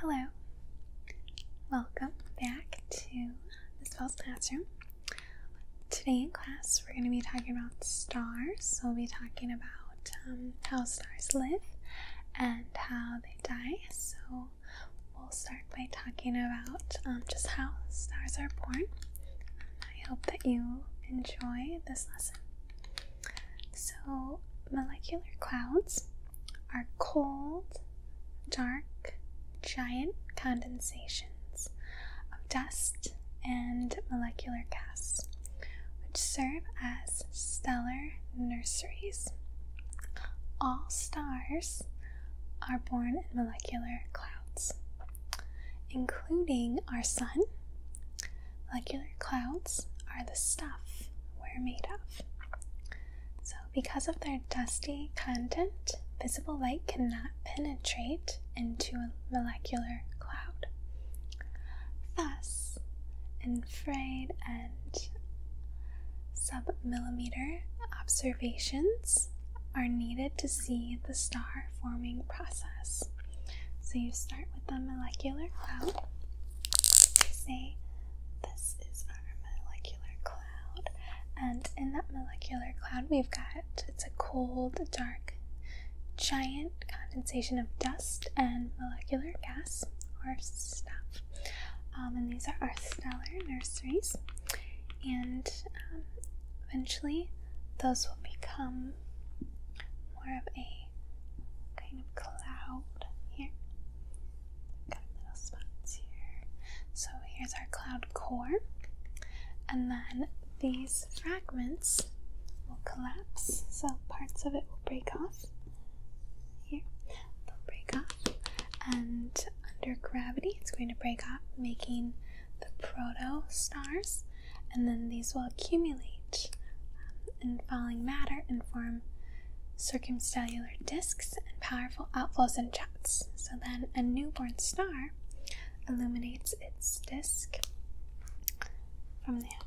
Hello. Welcome back to Miss Bell's classroom. Today in class, we're going to be talking about stars. we'll be talking about um, how stars live and how they die. So we'll start by talking about um, just how stars are born. I hope that you enjoy this lesson. So, molecular clouds are cold, dark, giant condensations of dust and molecular gas, which serve as stellar nurseries. All stars are born in molecular clouds, including our Sun, Molecular clouds are the stuff we're made of. So, because of their dusty content, visible light cannot penetrate into a molecular cloud. Thus, infrared and submillimeter observations are needed to see the star forming process. So you start with a molecular cloud. say, This is our molecular cloud. And in that molecular cloud, we've got it's a cold, dark, giant condensation of dust and molecular gas or stuff. Um, and these are our stellar nurseries. And um, eventually, those will become more of a kind of cloud here. Got little spots here. So here's our cloud core, and then these fragments will collapse. So parts of it will break off. Here, they'll break off, and under gravity, it's going to break up, making the proto stars, and then these will accumulate and falling matter and form circumstellar disks and powerful outflows and jets. So then a newborn star illuminates its disk from the edge.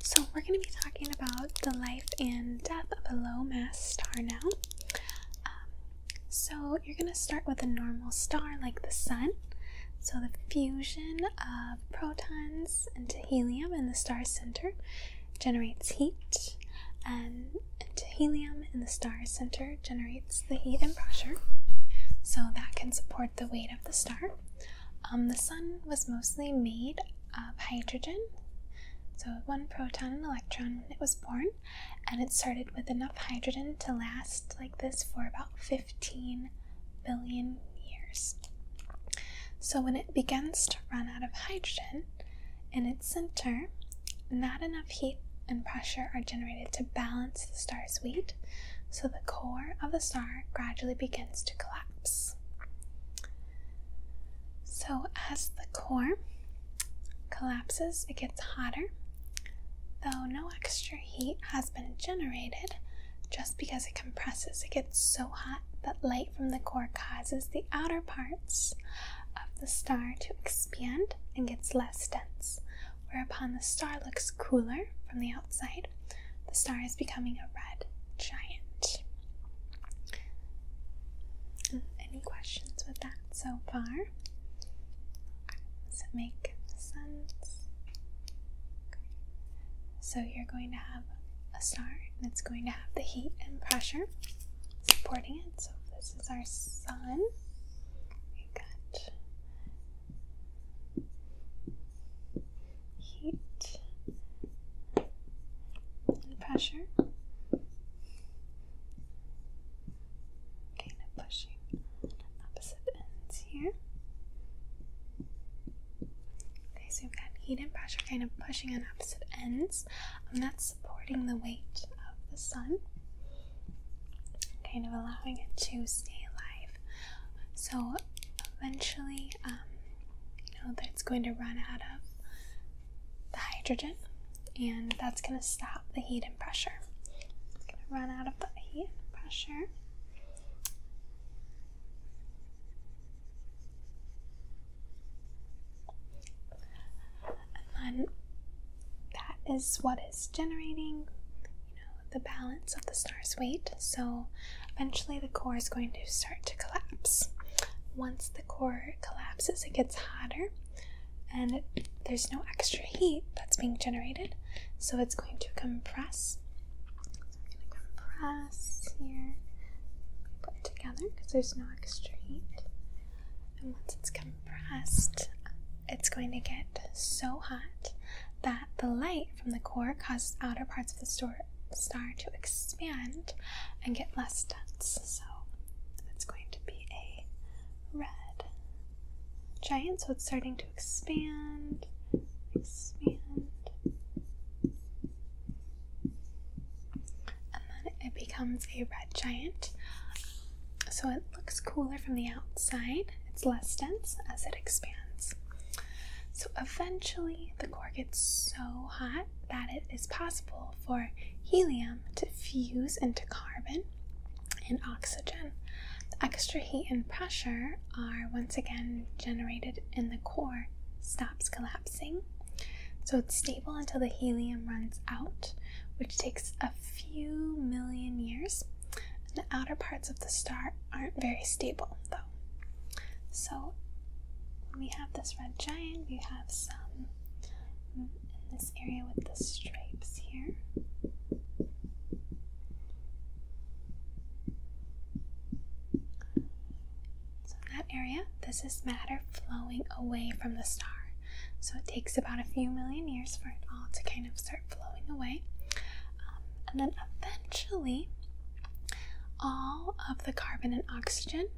So, we're going to be talking about the life and death of a low mass star now. Um, so, you're going to start with a normal star like the Sun. So, the fusion of protons into helium in the star's center generates heat, and into helium in the star's center generates the heat and pressure. So, that can support the weight of the star. Um, the sun was mostly made of hydrogen, so one proton and electron when it was born, and it started with enough hydrogen to last like this for about 15 billion years. So when it begins to run out of hydrogen in its center, not enough heat and pressure are generated to balance the star's weight, so the core of the star gradually begins to collapse. So, as the core collapses, it gets hotter, though no extra heat has been generated just because it compresses. It gets so hot that light from the core causes the outer parts of the star to expand and gets less dense, whereupon the star looks cooler from the outside the star is becoming a red giant. Any questions with that so far? Does it make sense? So you're going to have a star and it's going to have the heat and pressure supporting it. So this is our sun. We got heat and pressure. Kind of pushing opposite ends here. Okay, so we've got heat and pressure kind of pushing on opposite ends, and um, that's supporting the weight of the sun, kind of allowing it to stay alive so eventually, um, you know, that's going to run out of the hydrogen, and that's going to stop the heat and pressure. It's going to run out of the heat and pressure. And then that is what is generating the balance of the star's weight. So eventually the core is going to start to collapse. Once the core collapses, it gets hotter and there's no extra heat that's being generated. So it's going to compress. So I'm going to compress here, put together because there's no extra heat. And once it's compressed, it's going to get so hot that the light from the core causes outer parts of the star to expand and get less dense. So it's going to be a red giant. So it's starting to expand, expand. And then it becomes a red giant. So it looks cooler from the outside. It's less dense as it expands. So eventually, the core gets so hot that it is possible for helium to fuse into carbon and oxygen. The extra heat and pressure are once again generated, and the core stops collapsing. So it's stable until the helium runs out, which takes a few million years. And the outer parts of the star are, not very stable though. So we have this red giant, we have some in this area with the stripes here. So in that area, this is matter flowing away from the star. So it takes about a few million years for it all to kind of start flowing away and then eventually, all of the carbon and oxygen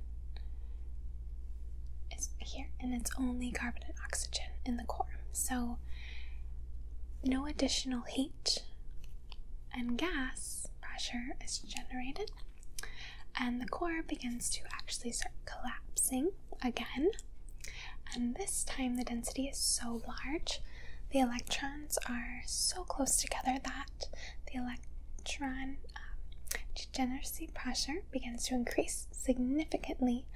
is here, and it's only carbon and oxygen in the core. So, no additional heat and gas pressure is generated, and the core begins to actually start collapsing again. And this time, the density is so large the electrons are so close together that the electron um, degeneracy pressure begins to increase significantly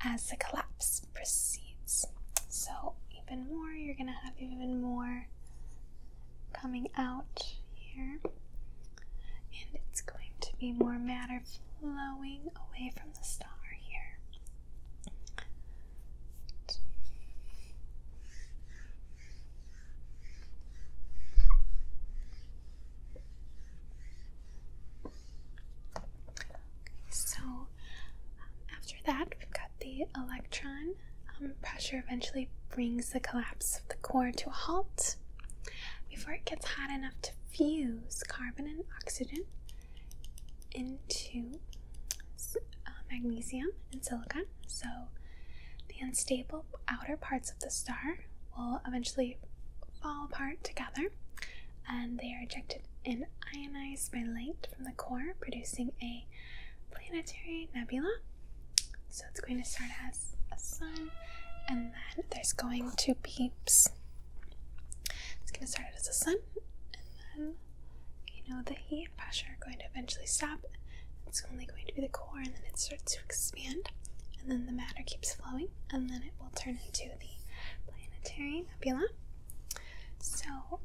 as the collapse proceeds. So, even more, you're going to have even more coming out here, and it's going to be more matter flowing away from so um, after that, we've got the electron. Um, pressure eventually brings the collapse of the core to a halt. Before it gets hot enough to fuse carbon and oxygen, into uh, magnesium and silicon. So the unstable outer parts of the star will eventually fall apart together and they are ejected and ionized by light from the core, producing a planetary nebula. So it's going to start as a sun, and then there's going to be. it's going to start as a sun, and then you know, the heat and pressure are going to eventually stop. It's only going to be the core, and then it starts to expand, and then the matter keeps flowing, and then it will turn into the planetary nebula. So,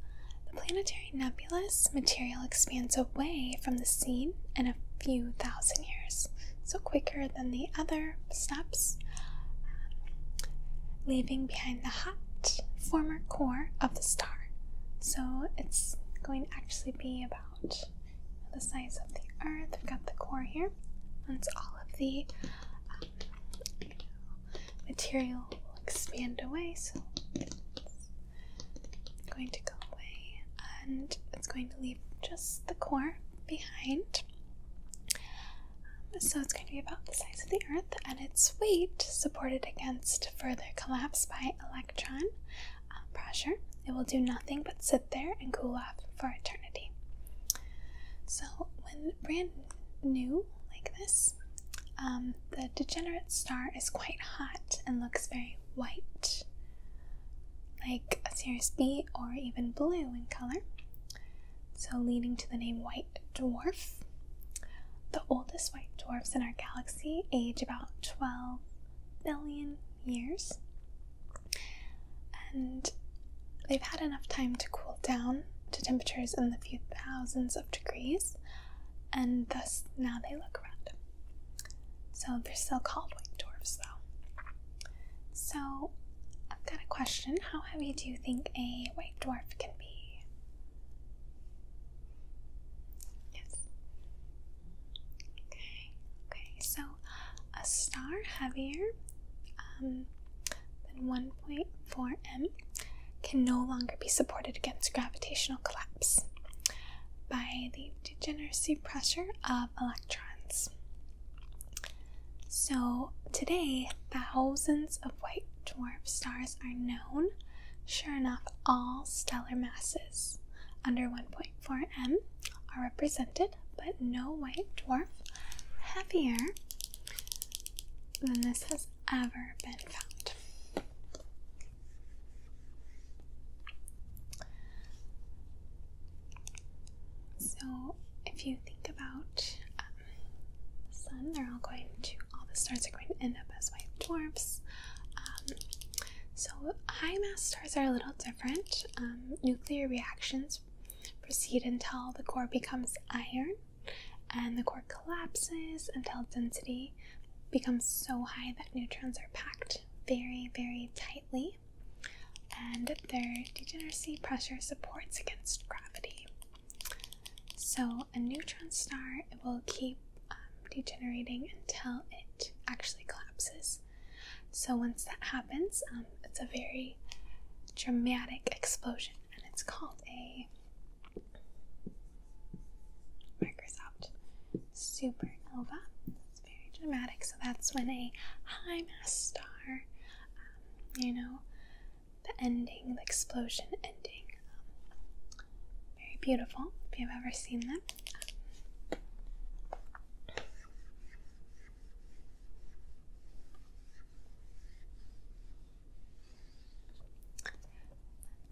the planetary nebula's material expands away from the scene in a few thousand years, so quicker than the other steps leaving behind the hot former core of the star. So it's going to actually be about the size of the Earth. we have got the core here, Once all of the um, material will expand away. So it's going to go away, and it's going to leave just the core behind so it's going to be about the size of the Earth, and its weight, supported against further collapse by electron uh, pressure, it will do nothing but sit there and cool off for eternity. So, when brand new like this, um, the degenerate star is quite hot and looks very white, like a Sirius B or even blue in color. So, leading to the name White Dwarf, the oldest white dwarfs in our galaxy age about 12 billion years. And they've had enough time to cool down to temperatures in the few thousands of degrees, and thus now they look red. So they're still called white dwarfs, though. So I've got a question. How heavy do you think a white? dwarf can be. Yes. Okay, okay, so a star heavier um, than 1.4 m can no longer be supported against gravitational collapse by the degeneracy pressure of electrons. So, today, thousands of white dwarf stars are known. Sure enough, all stellar masses under 1.4 m are represented, but no white dwarf heavier than this has ever been found. So, if you think about the um, sun. They're all going to, all the stars are going to end up as white dwarfs. Um, so, high mass stars are a little different. Um, nuclear reactions proceed until the core becomes iron and the core collapses until density becomes so high that neutrons are packed very, very tightly and their degeneracy pressure supports against gravity. So, a neutron star it will keep um, degenerating until it actually collapses. So, once that happens, um, it's a very dramatic explosion, and it's called a Microsoft supernova. It's very dramatic. So, that's when a high mass star, um, you know, the ending, the explosion ending. very beautiful if you've ever seen them.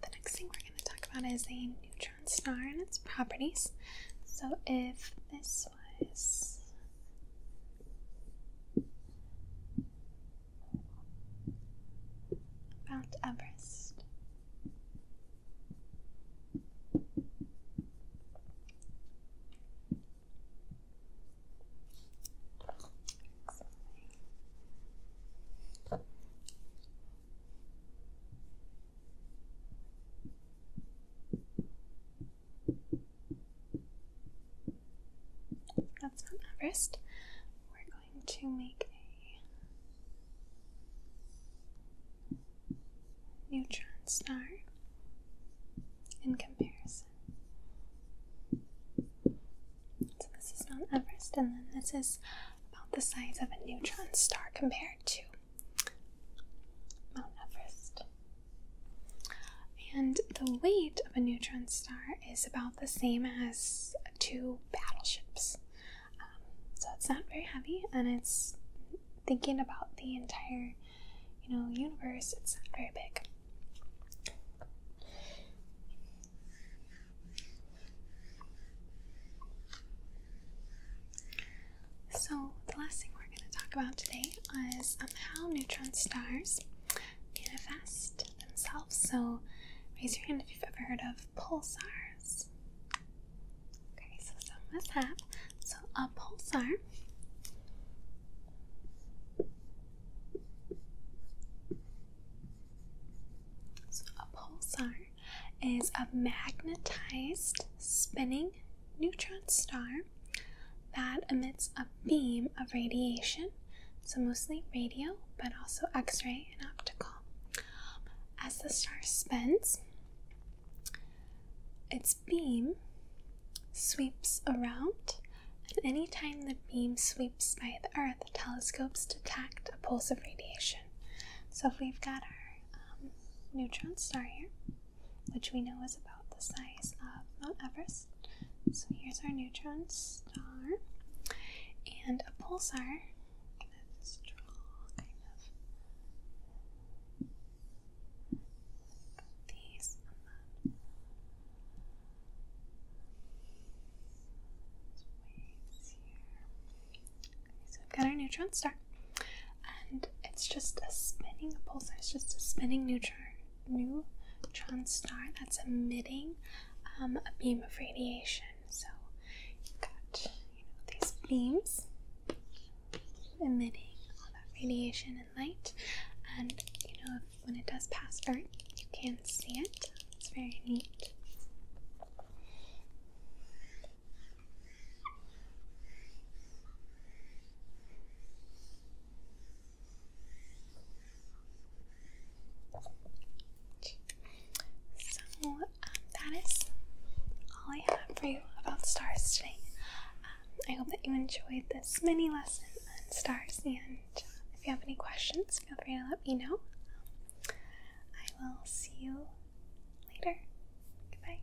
The next thing we're going to talk about is a neutron star and its properties. So, if this slice. Mount Everest. That's Mount Everest. We're going to make a neutron star in comparison. So this is Mount Everest, and then this is about the size of a neutron star compared to Mount Everest. And the weight of a neutron star is about the same as two battleships. Um, so it's not very heavy, and it's thinking about the entire, you know, universe. It's not very big. So the last thing we're going to talk about today today was um, how neutron stars manifest themselves. So raise your hand if you've ever heard of pulsars. Okay, so some of us So a pulsar so a pulsar is a magnetized spinning neutron star that emits a beam of radiation, so mostly radio, but also X ray and optical. As the star spins, its beam sweeps around, and any time the beam sweeps by the Earth, telescopes detect a pulse of radiation. So if we've got our um, neutron star here, which we know is about the size of Mount Everest. So here's our neutron star and a pulsar. I'm going draw kind of these um, waves here. so we've got our neutron star and it's just a spinning pulsar It's just a spinning neutron neutron star that's emitting um, a beam of radiation. So you've got you know these beams emitting all that radiation and light, and you know when it does pass Earth, you can see it. It's very neat. So um, that is all I have for you about stars today. Um, I hope that you enjoyed this mini lesson on stars, and uh, if you have any questions, feel free to let me know. I will see you later. Goodbye.